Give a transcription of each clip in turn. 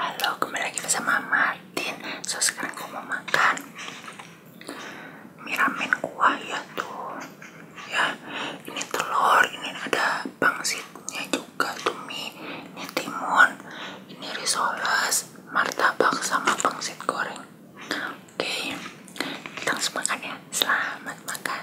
Halo, kembali lagi bersama Martin. So sekarang aku mau makan miramen kuah ya tuh. Ya, ini telur, ini ada pangsitnya juga tumi, ini timun, ini risoles, martabak sama pangsit goreng. Oke, kita langsung makan ya. Selamat makan.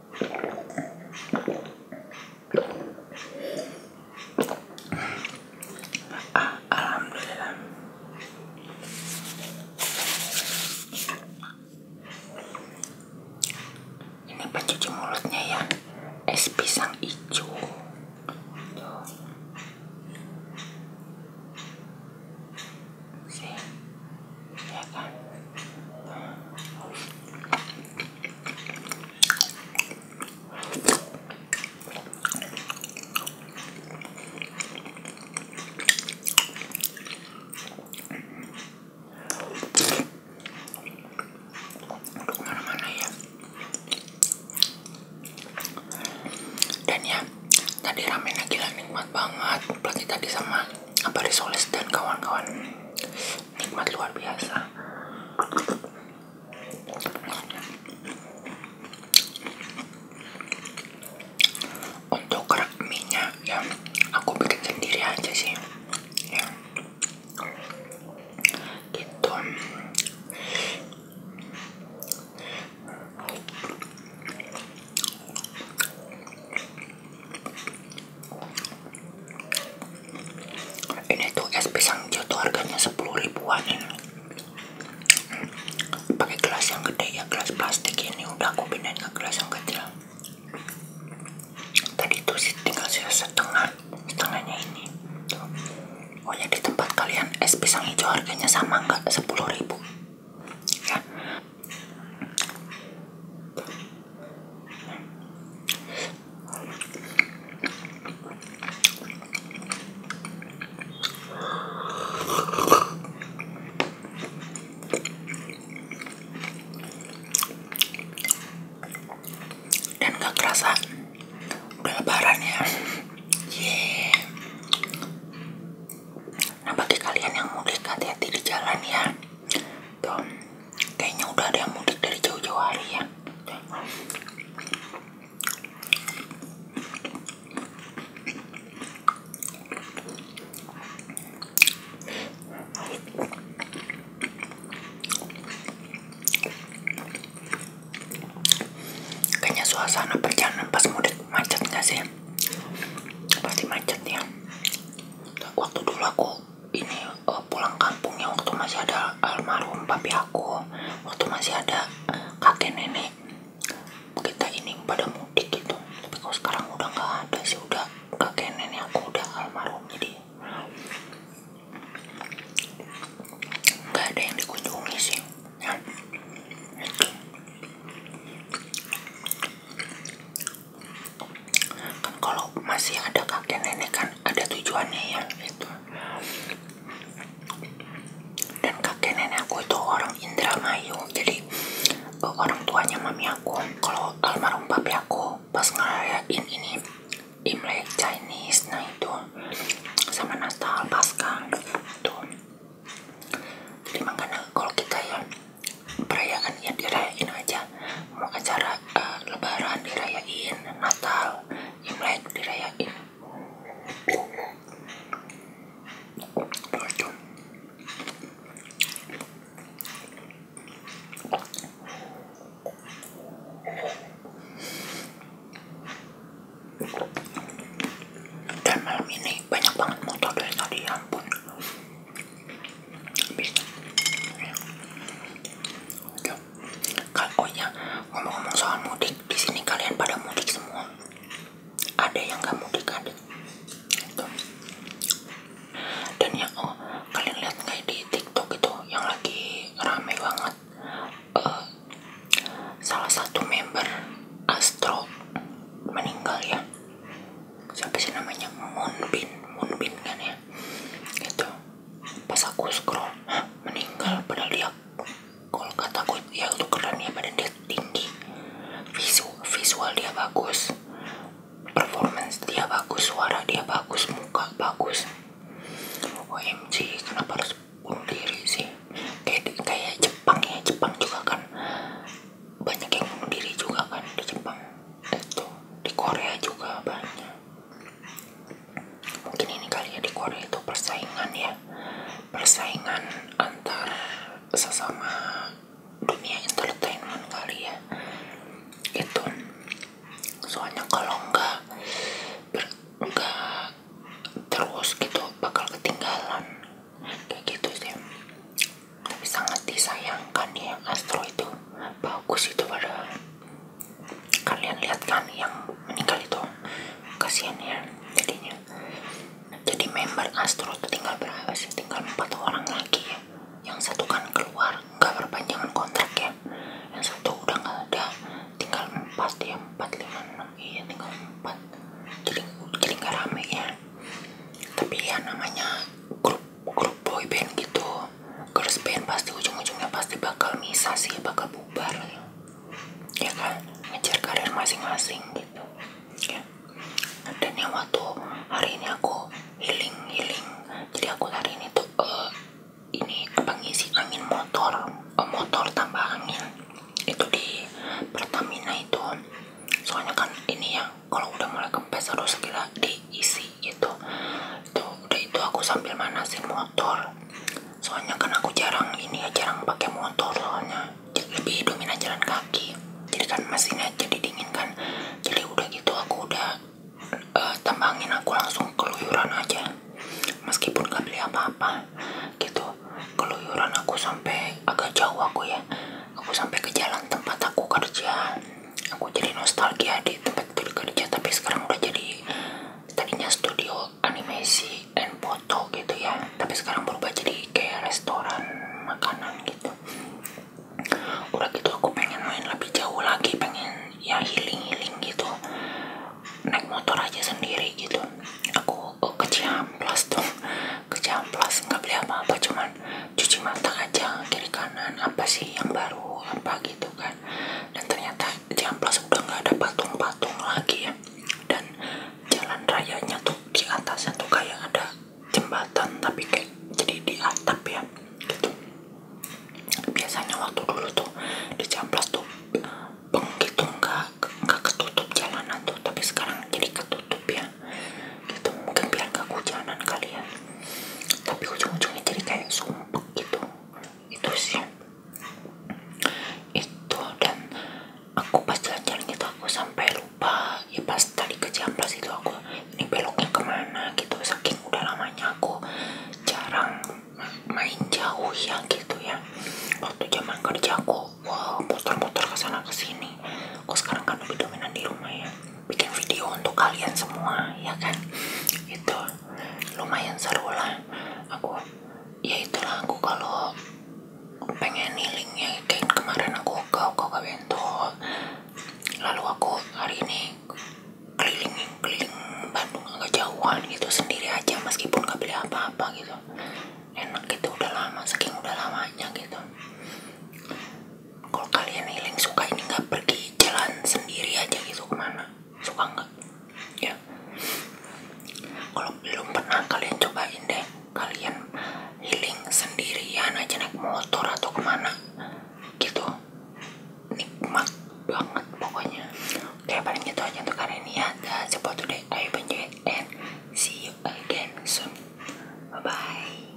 alhamdulillah. Ini pencuci mulutnya ya. Es pisang hijau. Ya? dan ya tadi ramen ramennya gila nikmat banget apalagi tadi sama apa risoles dan kawan-kawan nikmat luar biasa untuk kerak minyak ya, aku bikin sendiri aja sih ya. gitu. Ini tuh es pisang jatuh harganya 10 ribuan ini. Pakai gelas yang gede ya, gelas plastik ini udah aku pindahin ke gelas yang kecil. Tadi tuh sih tinggal setengah, setengahnya ini. Tuh. Oh ya di tempat kalian es pisang hijau harganya sama nggak 10 ribu? Ya, dan gak kerasa udah lebaran ya yeah. nah bagi kalian yang mudik hati-hati di jalan ya Tuh, gitu. kayaknya udah ada yang mudik dari jauh-jauh hari ya. Kayaknya suasana perjalanan pas mudik macet gak sih? Pasti macet ya. Tuh, waktu dulu aku ini uh, pulang kampungnya waktu masih ada almarhum papi aku waktu masih ada eh, kakek nenek kita ini pada mudik gitu tapi kalau sekarang udah nggak ada sih udah kakek nenek aku udah almarhum jadi nggak ada yang dikunjungi sih ya kan kalau masih ada kakek nenek kan ada tujuannya ya itu dan kakek nenek aku itu orang Indramayu jadi eh, orang tuanya mami aku kalau almarhum papi aku pas ngerayain ini Imlek Chinese nah itu sama Natal Pasca tuh gitu. jadi makanya kalau kita ya perayaan ya dirayain aja mau acara uh, lebaran dirayain natal imlek dirayain Bercum. Gitu. ini banyak banget motor dari tadi ya ampun bisa ya, Yuk. ngomong-ngomong soal mudik di sini kalian pada mudik semua ada yang nggak mudik ada gitu. dan ya oh kalian lihat nggak di tiktok itu yang lagi rame banget eh, salah satu member Astro meninggal ya siapa sih namanya Moonbin Moonbin kan ya itu pas aku scroll meninggal padahal dia kalau kataku ya itu keren ya badan dia tinggi visual visual dia bagus performance dia bagus suara dia bagus muka bagus OMG kenapa harus bunuh diri sih kayak kayak Jepang ya Jepang juga kan banyak yang bunuh diri juga kan di Jepang tuh di Korea juga banyak mungkin ini kali ya di Korea itu persaingan ya persaingan antar sesama dunia entertainment kali ya itu soalnya kalau enggak ber, enggak terus gitu bakal ketinggalan kayak gitu sih tapi sangat disayangkan ya Astro itu bagus itu padahal kalian lihat kan yang meninggal itu kasihan ya jadinya jadi member Astro itu tinggal berapa sih tinggal empat orang lagi ya yang satu kan keluar nggak perpanjangan kontrak ya yang satu udah nggak ada tinggal empat ya empat lima enam iya tinggal empat jadi jadi nggak rame ya tapi ya namanya grup grup boy band gitu girls band pasti ujung-ujungnya pasti bakal misah sih bakal bubar ya kan ngejar karir masing-masing gitu ya. dan yang waktu hari ini aku healing healing jadi aku hari ini tuh uh, ini apa ngisi angin motor eh, motor tambah angin itu di Pertamina itu soalnya kan ini ya kalau udah mulai kempes harus segera diisi gitu itu udah itu aku sambil manasin motor soalnya kan aku jarang ini ya jarang pakai motor soalnya lebih dominan jalan kaki jadi kan mesinnya jadi dingin kan jadi udah gitu aku udah uh, tambangin aku langsung keluyuran aja meskipun gak beli apa-apa gitu keluyuran aku sampai agak jauh aku ya aku sampai ke jalan tempat aku kerja aku jadi nostalgia di tempat kerja tapi sekarang udah jadi tadinya studio animasi and foto gitu ya tapi sekarang berubah jadi kayak restoran makanan gitu udah gitu aku pengen main lebih jauh lagi pengen ya healing healing gitu naik motor aja sendiri gitu aku oh, ke Ciamplas tuh ke Ciamplas nggak beli apa-apa cuman cuci mata aja kiri kanan apa sih yang baru apa gitu kan dan ternyata Jamplas udah nggak ada patung-patung lagi ya dan jalan rayanya tuh di atasnya tuh kayak ada jembatan tapi kayak jadi di atap ya gitu biasanya waktu dulu tuh di Jamplas tuh peng gitu nggak nggak ketutup jalanan tuh tapi sekarang jadi ketutup ya gitu mungkin biar gak hujanan kali ya tapi ujung-ujungnya jadi kayak sumpah gitu itu sih itu dan aku pas jalan-jalan gitu aku sampai lupa ya pas tadi ke Ciamplas itu aku ini beloknya kemana gitu saking udah lamanya aku jarang main jauh ya gitu ya waktu zaman kerja aku wow muter-muter kesana kesini aku sekarang kan lebih dominan di rumah ya bikin video untuk kalian semua ya kan itu lumayan seru lah aku ya itulah aku kalau pengen healingnya kayak kemarin aku ke Koka Bento lalu aku hari ini keliling keliling Bandung agak jauhan gitu sendiri aja meskipun gak beli apa-apa gitu enak gitu udah lama saking udah lamanya gitu kalau kalian healing suka ini nggak pergi jalan sendiri aja gitu kemana suka nggak ya kalau belum pernah kalian cobain deh kalian healing sendirian aja naik motor atau kemana gitu nikmat banget pokoknya Oke paling itu aja untuk kali ini Ada ya. That's about today I enjoy and see you again soon Bye bye